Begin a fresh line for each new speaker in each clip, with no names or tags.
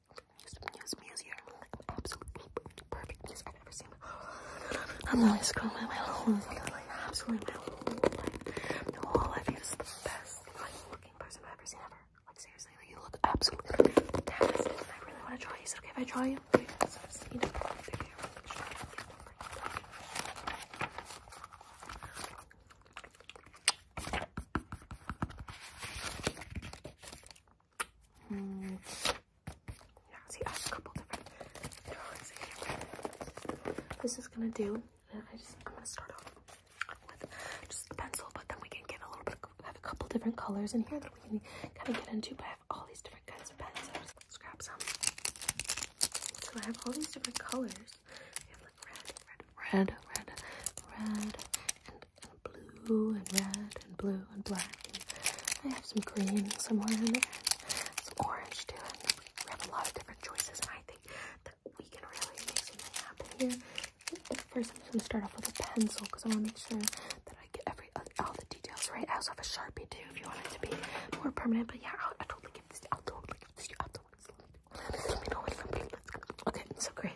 News, news here. Like absolutely perfect news I've ever seen. I'm really scrolling my whole life. Like, absolutely my whole life. The whole life is the best like, looking person I've ever seen ever. Like seriously, like, you look absolutely fantastic. And I really want to draw you. Is it okay if I draw you? Okay, so just, you know, Hmm. This is gonna do. I am gonna start off with just a pencil, but then we can get a little bit. I have a couple different colors in here that we can kind of get into. But I have all these different kinds of pens. So let's grab some. So I have all these different colors. We have like red, red, red, red, red, and blue and red and blue and black. And I have some green somewhere in there, some orange too. we have a lot of different choices, and I think that we can really make something happen here. first, I'm just gonna start off with a pencil because I want to make sure that I get every uh, all the details right. I also have a sharpie too, if you want it to be more permanent. But yeah, I'll, totally give this. I'll totally give this. I'll totally. Give this. I'll totally this. Okay, so great.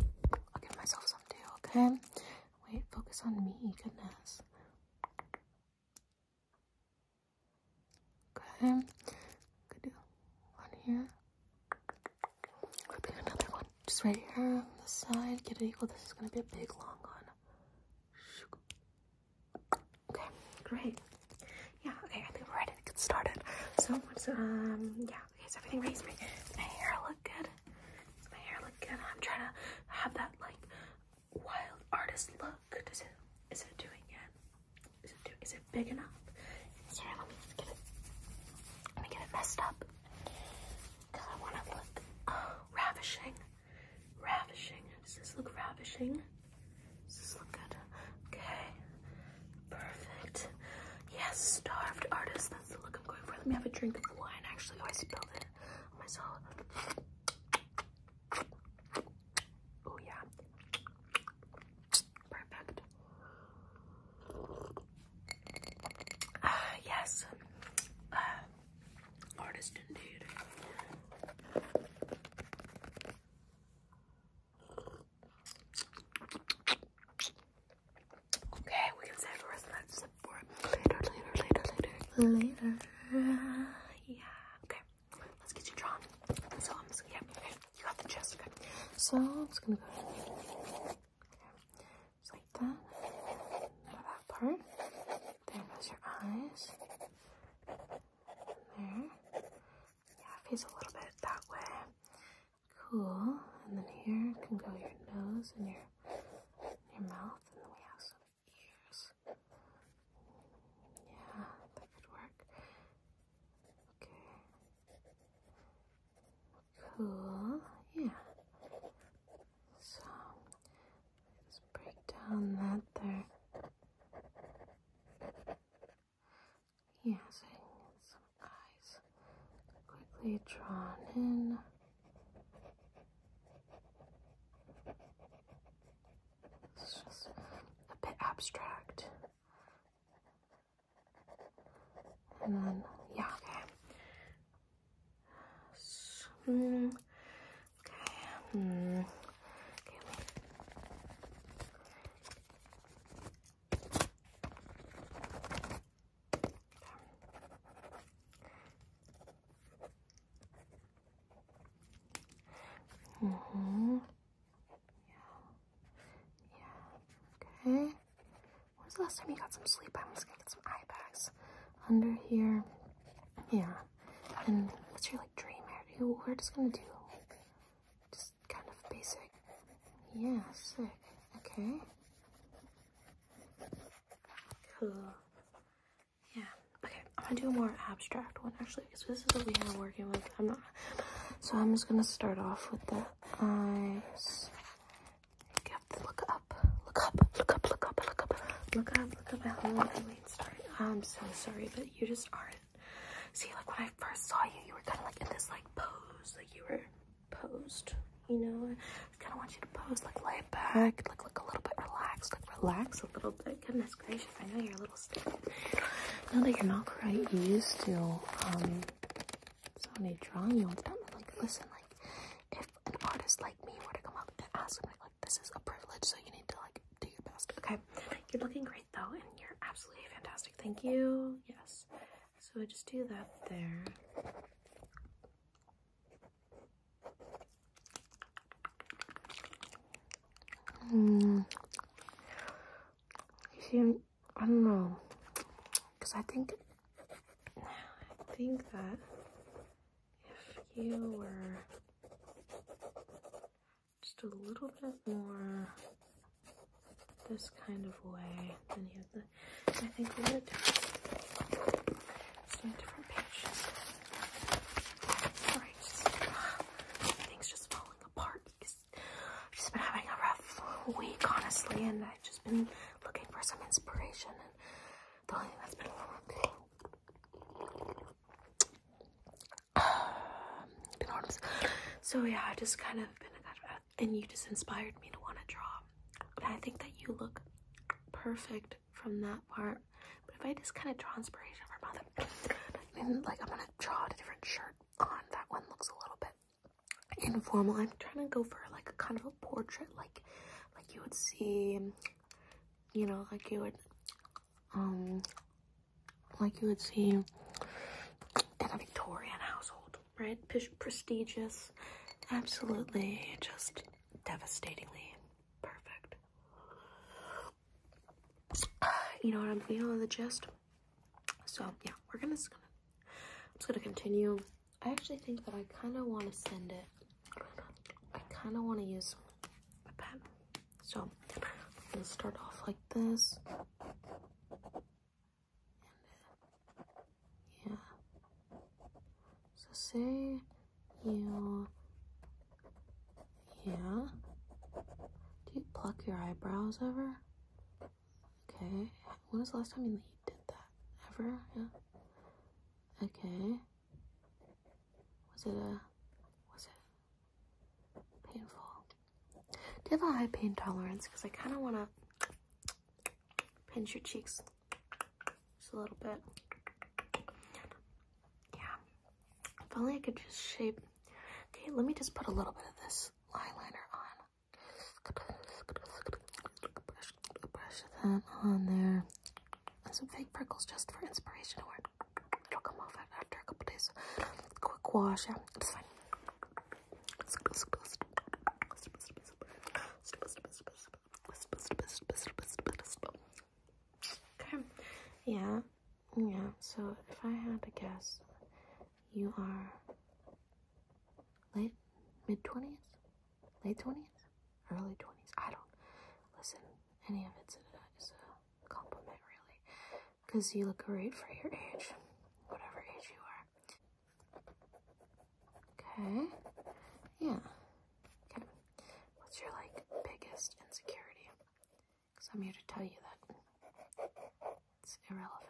I'll give myself some too, okay? Wait, focus on me, goodness. Okay, good deal. One here. Ripping another one. Just right here on the side. Get it equal. This is gonna be a big long one. Okay, great. Yeah, okay, I think we're ready to get started. So um yeah, okay, so everything raised my, hair a look good? Does my hair look good? I'm trying to have that like wild artist look. Does it? Is it doing it? Is it do, it big enough? Sorry, let me get it. Let me get it messed up because I want to look ravishing. Ravishing. Does this look ravishing? Does this look good? Okay. Perfect. Yes, starved artist. That's the look I'm going for. Let me have a drink of wine. Actually, oh, I spilled it oh, myself. Oh yeah. Perfect. Uh, yes. Ah. artist indeed. Okay, we can save the rest of that sip for later, later, later, later, later. Yeah, okay. Let's get you drawn. So I'm just gonna, yeah, okay, you got the chest, okay. So I'm just gonna go okay. just like that. Now that part. There goes your eyes. There. Yeah, face a little bit that way. Cool. And then here can go your nose and your your mouth, and then we have some ears. Yeah, that could work. Okay. Cool. Yeah. So let's break down that there using some eyes quickly drawn in. It's just a bit abstract. And then, yeah, okay. Hmm. okay. Mm, okay. Mm hmm Yeah. Yeah. Okay. When the last time you got some sleep? I'm just gonna get some eye bags under here. Yeah. And what's your like dream area? We're just gonna do just kind of basic. Yeah, sick. Okay. Cool. Yeah. Okay, I'm gonna do a more abstract one actually, because this is what we are working with. I'm not. So I'm just gonna start off with the eyes. You have to look up, look up, look up, look up, look up, look up, look up. How long I late start? I'm so sorry, but you just aren't. See, like when I first saw you, you were kind of like in this like pose, like you were posed. You know, I kind of want you to pose, like lay back, like look a little bit relaxed, like relax a little bit. Goodness gracious, I know you're a little stiff. Now that you're not quite used to um, somebody drawing you on and stuff, like listen, like if an artist like me were to come up and ask me, like this is a privilege, so you need to like do your best. Okay, you're looking great though, and you're absolutely fantastic. Thank you. Yes. So I just do that there. Mm. I don't know, because I think, I think that if you were just a little bit more this kind of way. Then you have the, I think we are done. Some different pages. Sorry, just, everything's just falling apart because I've just been having a rough week, honestly, and I've just been looking for some inspiration. And the only thing that's been um, been hard was, so yeah, I just kind of been and you just inspired me to want to draw. And I think that you look perfect from that part. But if I just kind of draw inspiration from other, like I'm gonna draw a different shirt on. That one looks a little bit informal. I'm trying to go for like a kind of a portrait, like like you would see, you know, like you would, um, like you would see in a Victorian household right? prestigious, absolutely just devastatingly perfect. You know what I'm feeling the gist? So yeah, we're gonna just gonna continue. I actually think that I kind of want to send it. I kind of want to use a pen, so I'm gonna start off like this yeah. So say you, yeah. Do you pluck your eyebrows ever? Okay. When was the last time you did that? Ever? Yeah. Okay. Was it a, was it painful? Do you have a high pain tolerance? Because I kind of want to pinch your cheeks just a little bit. Yeah. If only I could just shape. Okay, let me just put a little bit of this eyeliner on. Brush, that on there. And some fake prickles just for inspiration. Or it'll come off after a couple days. Quick wash. Yeah, it's fine. Okay. Yeah. Yeah. So if I had to guess, you are late mid twenties, late twenties, early twenties. I don't listen. Any of it's a, a compliment, really, because you look great for your age, whatever age you are. Okay. Yeah. Okay. What's your like biggest insecurity? Because I'm here to tell you that it's irrelevant.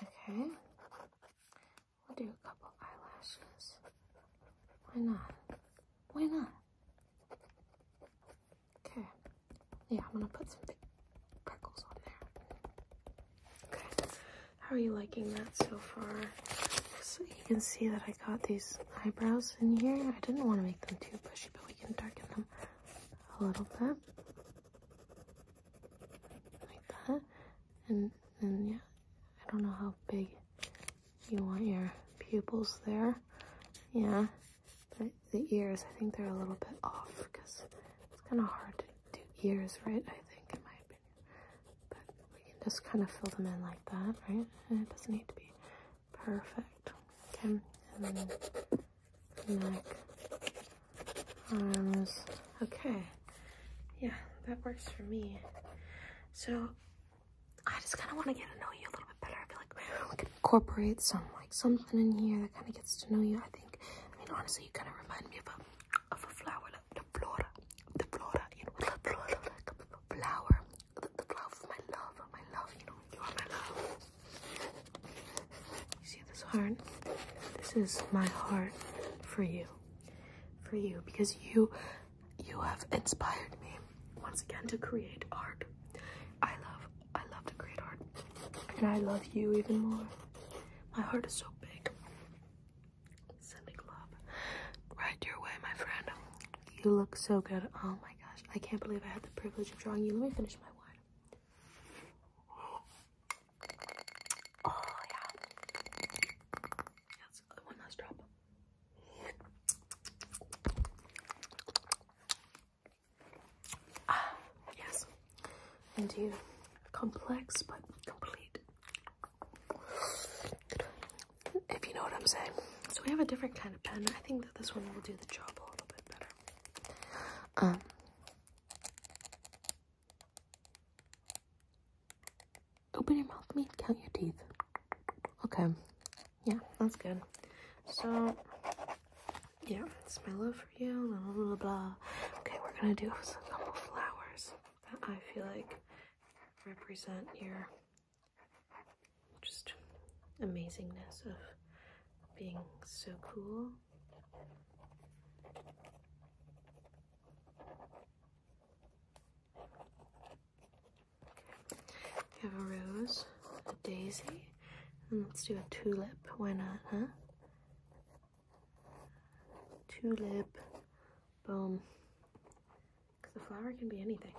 Okay. We'll do a couple eyelashes. Why not? Why not? Okay. Yeah, I'm gonna put some freckles on there. Okay. How are you liking that so far? So you can see that I got these eyebrows in here. I didn't want to make them too bushy, but we can darken them a little bit like that. And then, yeah, I don't know how big you want your pupils there. Yeah, but the ears, I think they're a little bit off because it's kind of hard to do ears, right? I think, in my opinion. But we can just kind of fill them in like that, right? And it doesn't need to be perfect. Okay, and then neck arms. Okay. Yeah, that works for me. So I just kind of want to get to know you a little bit better. I feel like we could incorporate some like something in here that kind of gets to know you. I think. I mean, honestly, you kind of remind me of a of a flower, like the flora, the flora, you know, the flora, like a flower, the, the flower of my love, of my love, you know, you are my love. You see this heart? This is my heart for you for you because you you have inspired me once again to create art. I love I love to create art and I love you even more. My heart is so big. Sending love right your way, my friend. You look so good. Oh my gosh, I can't believe I had the privilege of drawing you. Let me finish my wine. Oh, yeah. That's one last drop. Ah, yes. Indeed. Complex, but complete. If you know what I'm saying. So we have a different kind of pen. I think that this one will do the job a little bit better. Um, Open your mouth, meat, count your teeth. Okay. Yeah, that's good. So, yeah, it's my love for you, blah, blah, blah, Okay, we're gonna do a couple flowers that I feel like represent your just amazingness of being so cool we have a rose, a daisy, and let's do a tulip. Why not, huh? Tulip. Boom. Because the flower can be anything.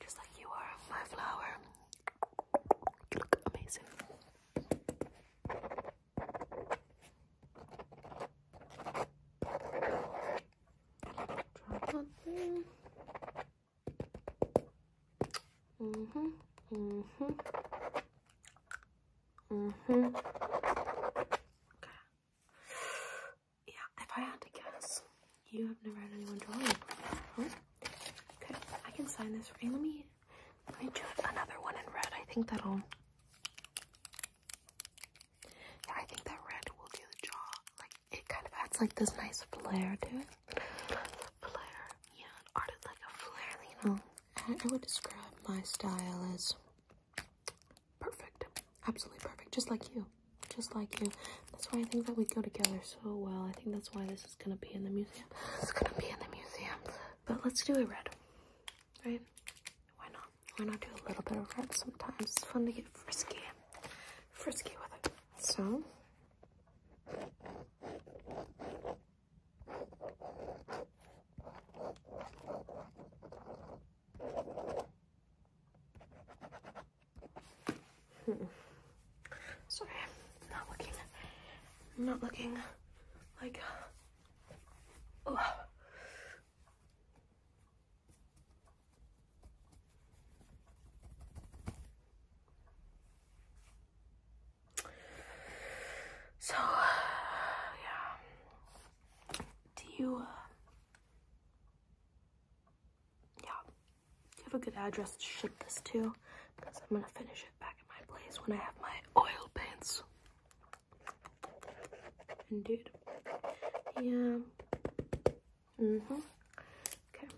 Just like you are my flower. You look amazing hmm hmm hmm Yeah, if I had to guess, you have never had anyone draw you. Okay, I can sign this for you. Let me let me do another one in red. I think that'll. Yeah, I think that red will do the jaw. Like it kind of adds like this nice flair to it. flair, yeah, an like a flair, you know. I would describe my style as perfect, absolutely perfect, just like you, just like you. That's why I think that we go together so well. I think that's why this is gonna be in the museum. It's gonna be in the museum. But let's do it red right? Why not? Why not do a little bit of red sometimes? It's fun to get frisky, frisky with it. So. Hmm. Sorry, not looking, I'm not looking like Oh. So, yeah. Do you, uh, yeah, do you have a good address to ship this to? Because I'm gonna finish it back at my place when I have my oil paints. Indeed. Yeah. Mm-hmm. Okay.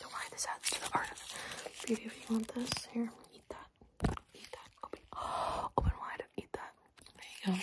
Don't worry, this adds to the art of beauty if you want this. Here, eat that. Eat that. open wide. Eat that. There you go.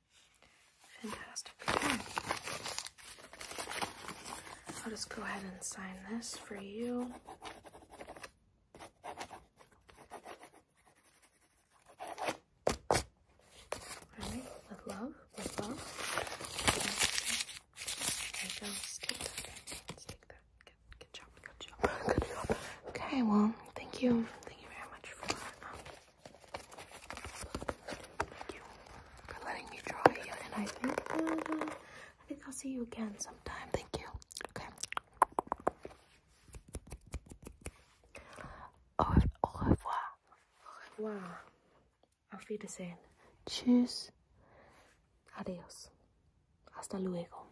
Fantastic I'll just go ahead and sign this for you. with love, with love. There you go. Stick that. Stick that. Good, job. Good job. Good job. Okay, well, thank you. Thank you very much for um, Thank you for letting me draw you, and I think uh, I think I'll see you again sometime. Thank you. Okay. Au, au revoir. Au revoir. the Wiedersehen. Tschüss. Adios. Hasta luego.